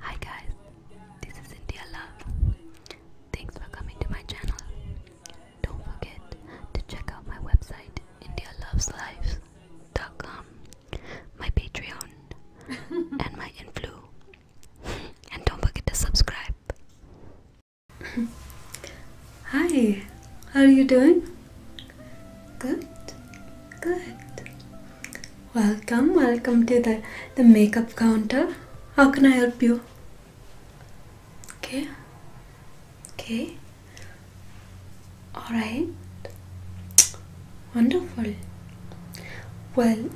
Hi guys, this is India Love. Thanks for coming to my channel. Don't forget to check out my website indialoveslives.com, my Patreon, and my Influ. and don't forget to subscribe. Hi, how are you doing? Good, good. Welcome, welcome to the, the makeup counter. How can I help you? Okay, okay. Alright, wonderful. Well,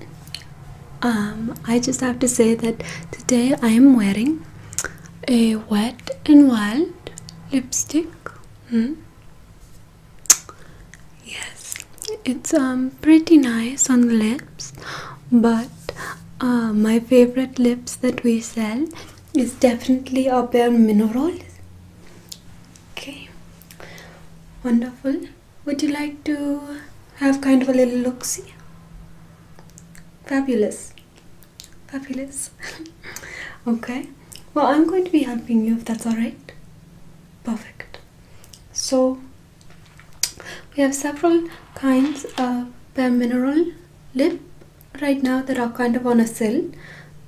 um, I just have to say that today I am wearing a wet and wild lipstick. Hmm? Yes, it's um pretty nice on the lips, but uh, my favorite lips that we sell is definitely our bare minerals. Okay, wonderful. Would you like to have kind of a little look see? Fabulous, fabulous. okay, well, I'm going to be helping you if that's all right perfect so we have several kinds of bare mineral lip right now that are kind of on a sale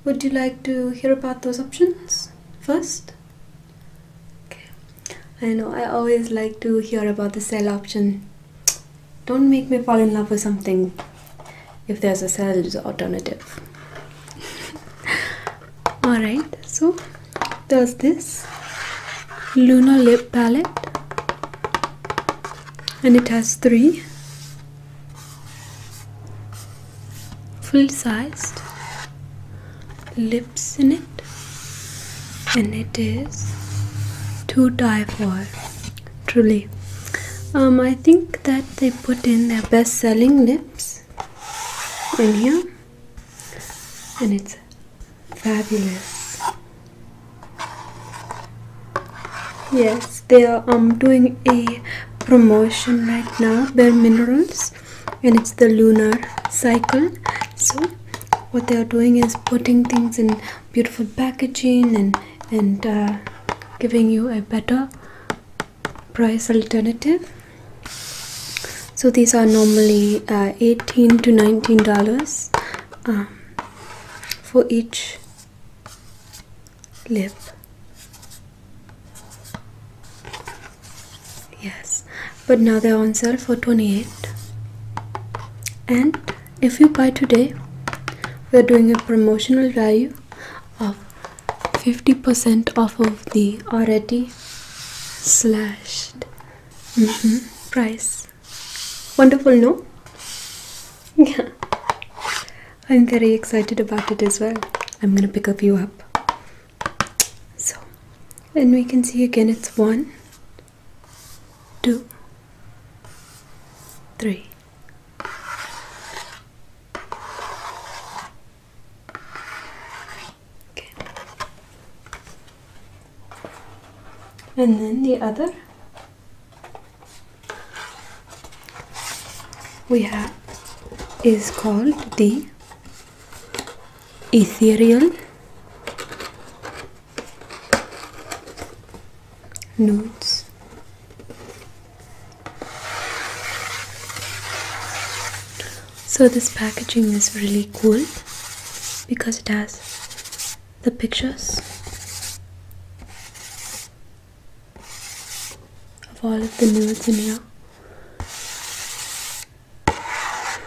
would you like to hear about those options first okay i know i always like to hear about the sale option don't make me fall in love with something if there's a sale alternative Alright, so there's this Lunar Lip Palette and it has three full-sized lips in it and it is to die for truly um, I think that they put in their best-selling lips in here, and it's fabulous. Yes, they are I'm um, doing a promotion right now. Their minerals, and it's the lunar cycle. So what they are doing is putting things in beautiful packaging and and uh, giving you a better price alternative so these are normally uh, 18 to 19 dollars um, for each lip yes but now they're on sale for 28 and if you buy today we're doing a promotional value of 50% off of the already slashed price. Wonderful, no? Yeah. I'm very excited about it as well. I'm gonna pick a few up. So, and we can see again it's one, two, three. And then the other. We have is called the ethereal notes. So this packaging is really cool because it has the pictures of all of the new in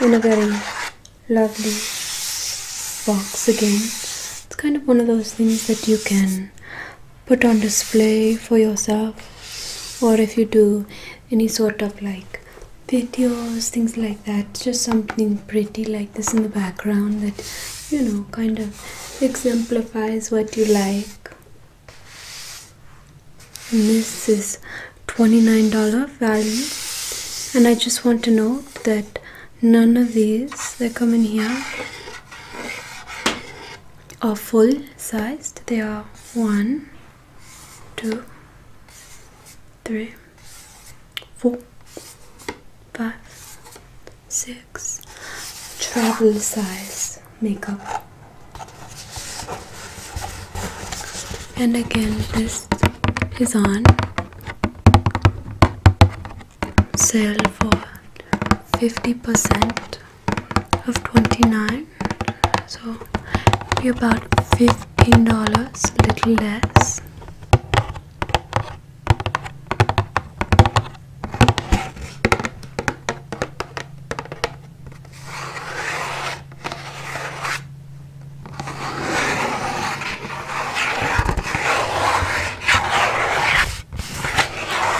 in a very lovely box again. It's kind of one of those things that you can put on display for yourself or if you do any sort of like videos things like that just something pretty like this in the background that you know kind of exemplifies what you like and this is $29 value and I just want to note that none of these they come in here are full sized they are one two three four five six travel size makeup and again this is on sale for 50% of 29 so be about $15 little less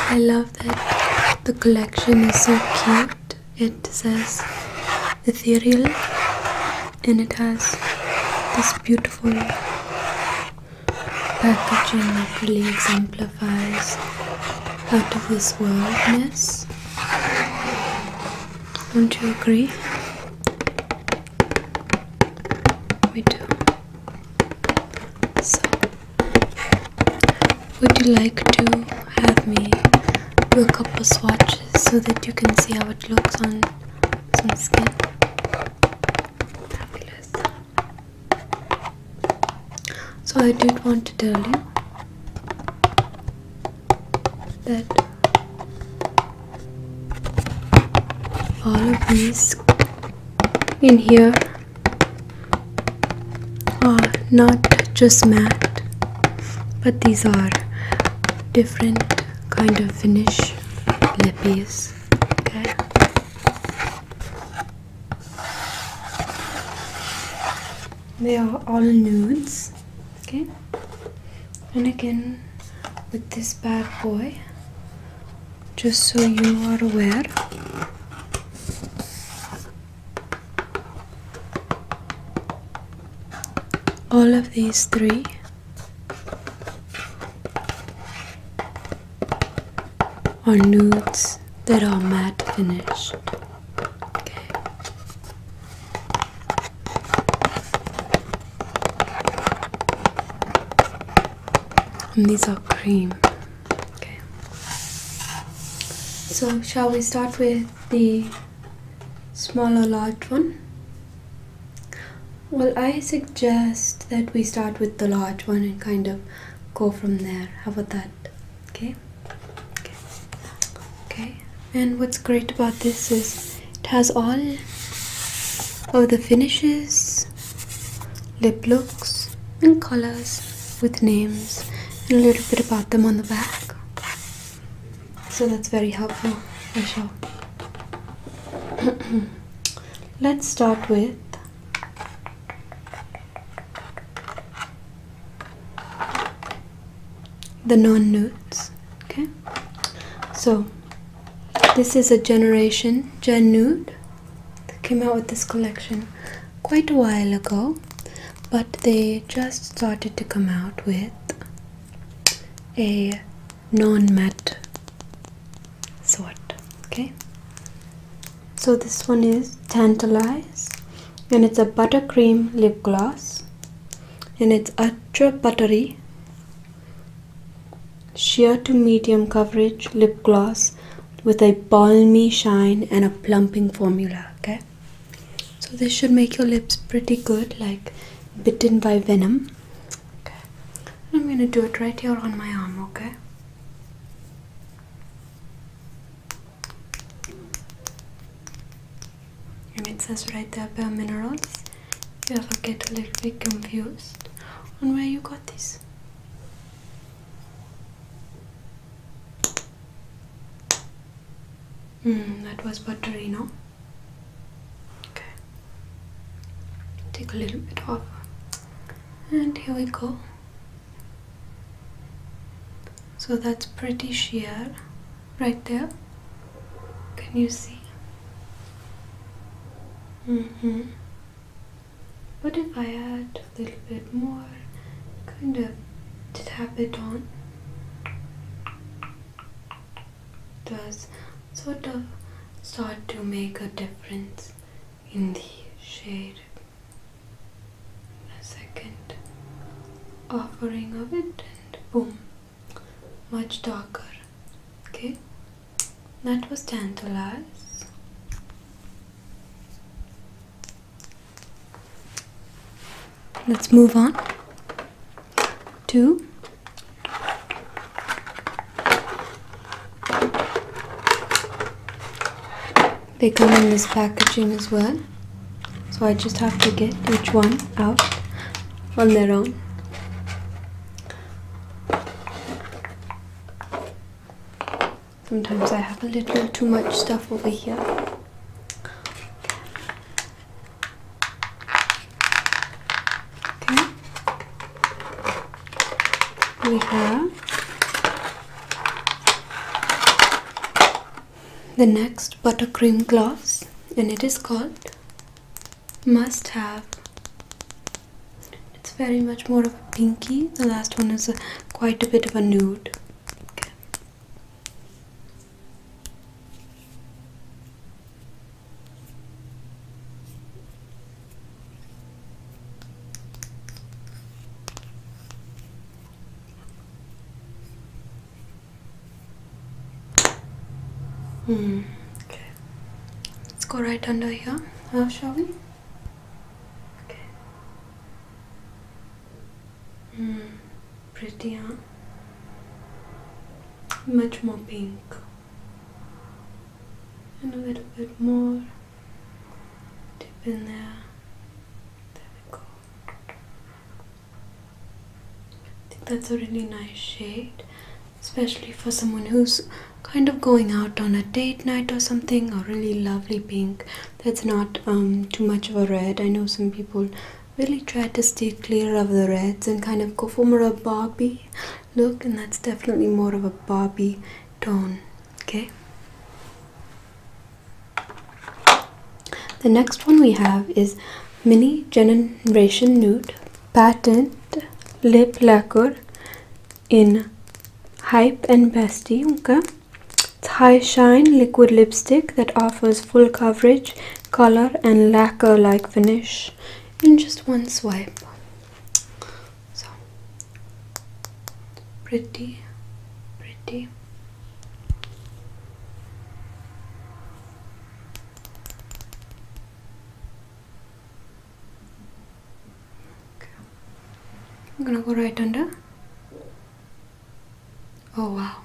I love the collection is so cute. It says ethereal and it has this beautiful packaging that really exemplifies out of this worldness. Don't you agree? We do. So would you like to have me do a couple swatches so that you can see how it looks on some skin? So I did want to tell you that all of these in here are not just matte but these are different kind of finish lippies okay they are all nudes okay and again with this bad boy just so you are aware all of these three are nudes that are matte finished. Okay. And these are cream. Okay. So, shall we start with the smaller large one? Well, I suggest that we start with the large one and kind of go from there. How about that? Okay. Okay. okay. And what's great about this is it has all of the finishes lip looks and colors with names and a little bit about them on the back. So that's very helpful Let's start with the non-nudes. Okay, so this is a generation gen nude came out with this collection quite a while ago, but they just started to come out with a non matte sort. Okay, so this one is Tantalize, and it's a buttercream lip gloss, and it's ultra buttery sheer to medium coverage lip gloss with a balmy shine and a plumping formula. Okay, so this should make your lips pretty good, like bitten by venom. Okay, I'm gonna do it right here on my arm. Okay. And it says right there bare minerals. you ever get a little bit confused on where you got this. Mm, that was buttery, no? Okay. Take a little bit off. And here we go. So that's pretty sheer right there. Can you see? Mm-hmm. What if I add a little bit more, kind of tap it on? Does sort of start to make a difference in the shade. A second offering of it and boom, much darker. Okay, that was tantalize. Let's move on to they come in this packaging as well so I just have to get each one out on their own Sometimes I have a little too much stuff over here. Okay. We have the next buttercream gloss and it is called must have it's very much more of a pinky. The last one is quite a bit of a nude. Okay. Mm, okay. Let's go right under here, How shall we? Okay. Mm, pretty, huh? Much more pink. And a little bit more deep in there. There we go. I think that's a really nice shade, especially for someone who's kind of going out on a date night or something, a really lovely pink that's not um, too much of a red. I know some people really try to stay clear of the reds and kind of go for more of a Barbie look, and that's definitely more of a Barbie tone. Okay. The next one we have is Mini Generation Nude Patent Lip Lacquer in Hype and Bestie. Okay. It's High Shine liquid lipstick that offers full coverage, color, and lacquer like finish in just one swipe. So pretty, pretty. I'm gonna go right under. Oh wow.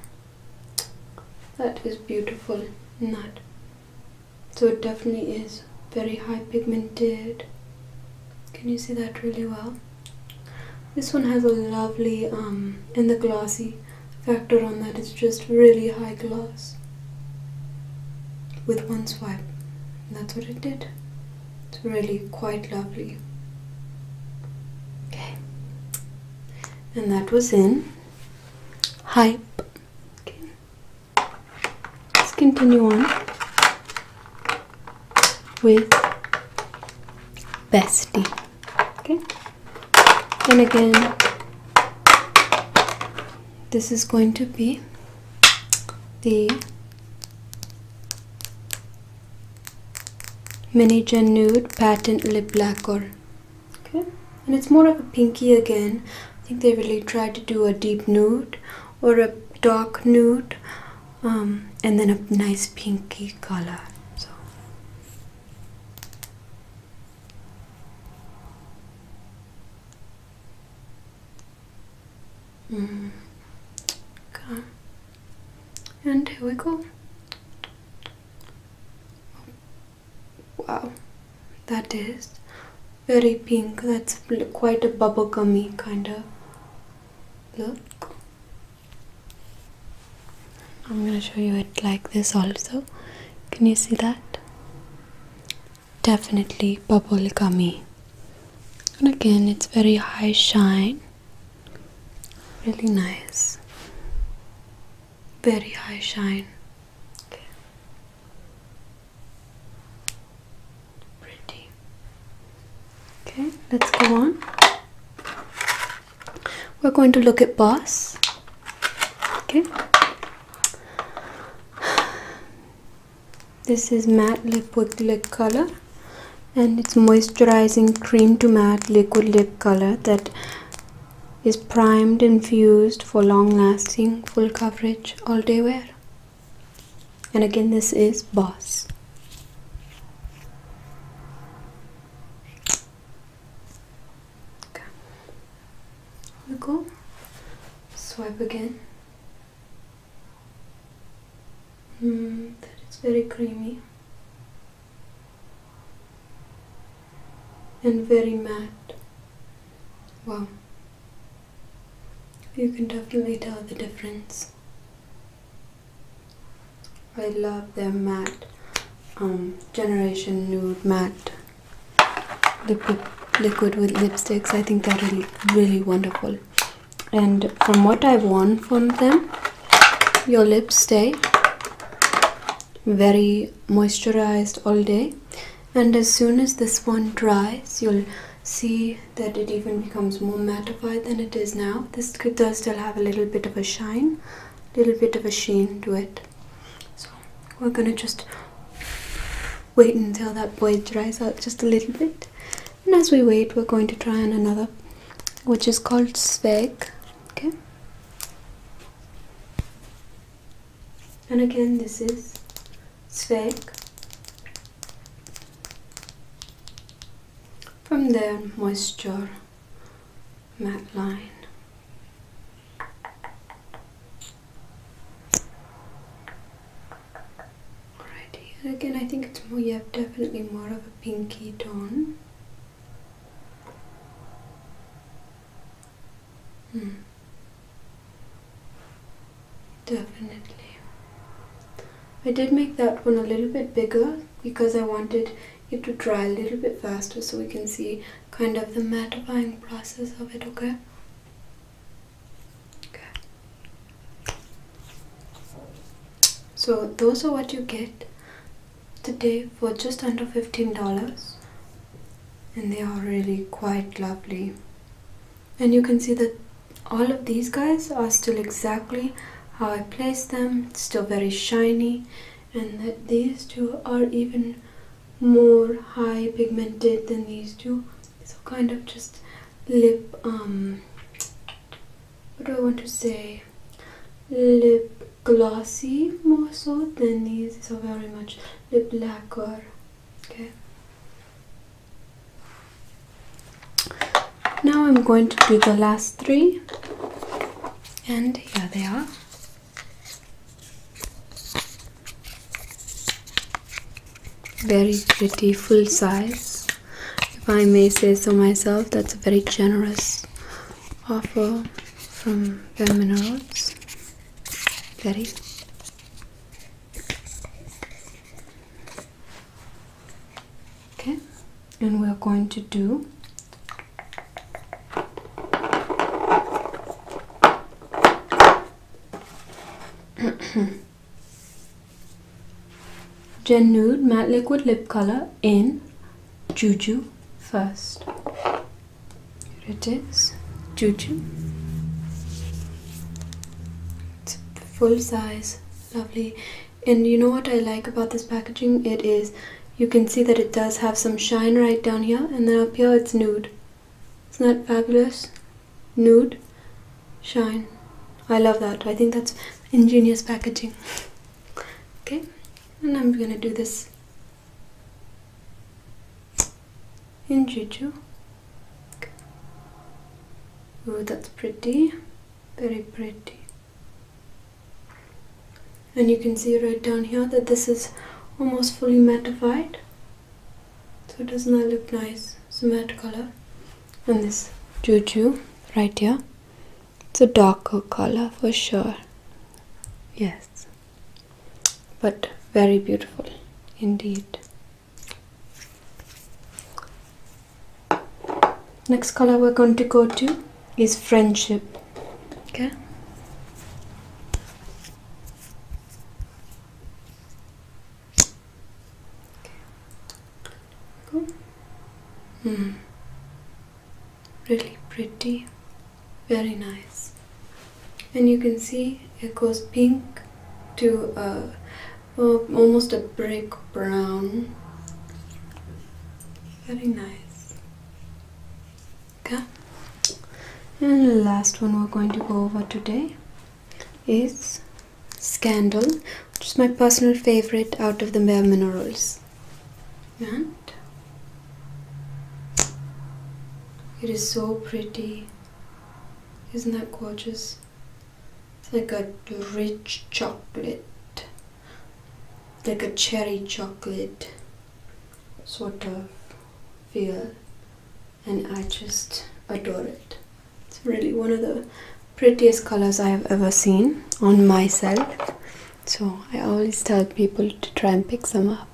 That is beautiful nut. So it definitely is very high pigmented. Can you see that really well? This one has a lovely, um, and the glossy factor on that is just really high gloss. With one swipe. That's what it did. It's really quite lovely. Okay. And that was in hype. Okay. Let's continue on with bestie. Okay. And again, this is going to be the Minigen Nude Patent Lip Lacquer. Okay, and it's more of a pinky again. I think they really tried to do a deep nude or a dark nude um, and then a nice pinky color. Mm. Okay. And here we go. Wow, that is very pink. That's quite a bubblegummy kind of look. I'm gonna show you it like this also. Can you see that? Definitely bubblegummy and again it's very high shine really nice very high shine okay. pretty okay let's go on we're going to look at boss okay this is matte lip with lip color and it's moisturizing cream to matte liquid lip color that is primed infused for long lasting full coverage all day wear. And again this is Boss. Okay. Swipe again. Mm, that is very creamy and very matte. Wow. You can definitely tell the difference. I love their matte, um, Generation Nude Matte liquid, liquid with lipsticks. I think they're really, really wonderful and from what I've worn from them, your lips stay very moisturized all day. And as soon as this one dries, you'll see that it even becomes more mattified than it is now. This does still have a little bit of a shine, a little bit of a sheen to it. So we're gonna just wait until that boy dries out just a little bit. And as we wait, we're going to try on another, which is called Sveg. Okay. And again, this is Sveg. From there, moisture matte line. Alright, here again I think it's more, yeah, definitely more of a pinky tone. Hmm. Definitely. I did make that one a little bit bigger because I wanted it to dry a little bit faster so we can see kind of the mattifying process of it, okay? So those are what you get today for just under $15 and they are really quite lovely and you can see that all of these guys are still exactly how I placed them still very shiny and that these two are even more high pigmented than these two so kind of just lip um what do I want to say lip glossy more so than these these are very much lip lacquer okay now I'm going to do the last three and here they are very pretty full size if i may say so myself that's a very generous offer from bare minerals okay and we are going to do Gen Nude Matte Liquid Lip Color in Juju first. Here it is, Juju. It's full size, lovely. And you know what I like about this packaging? It is, you can see that it does have some shine right down here and then up here it's nude. Isn't that fabulous? nude shine i love that i think that's ingenious packaging okay and i'm gonna do this in juju oh that's pretty very pretty and you can see right down here that this is almost fully mattified so doesn't that look nice? It's a matte color. And this juju right here. It's a darker color for sure. Yes. But very beautiful indeed. Next color we're going to go to is friendship. Okay. Hmm. Really pretty. Very nice. And you can see it goes pink to a, uh, almost a brick brown. Very nice. Okay. And the last one we're going to go over today is Scandal, which is my personal favorite out of the Bare Minerals. And it is so pretty. Isn't that gorgeous? It's like a rich chocolate, like a cherry chocolate sort of feel, and I just adore it. It's really one of the prettiest colors I have ever seen on myself. So I always tell people to try and pick some up.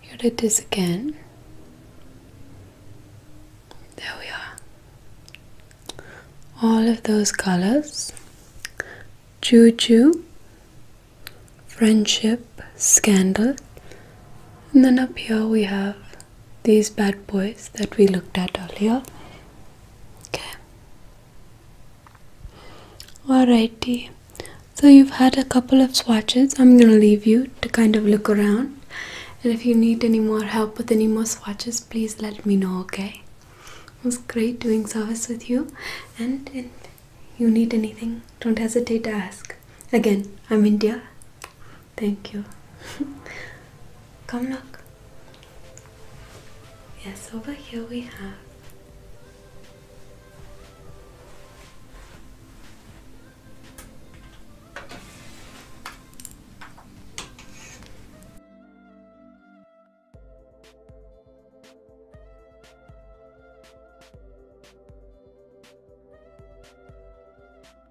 Here it is again. There we are. All of those colors. Juju, friendship, scandal. And then up here we have these bad boys that we looked at earlier. Okay. Alrighty. So you've had a couple of swatches. I'm gonna leave you to kind of look around. And if you need any more help with any more swatches, please let me know, okay? It was great doing service with you. And if you need anything, don't hesitate to ask. Again, I'm India. Thank you. Come look. Yes, over here we have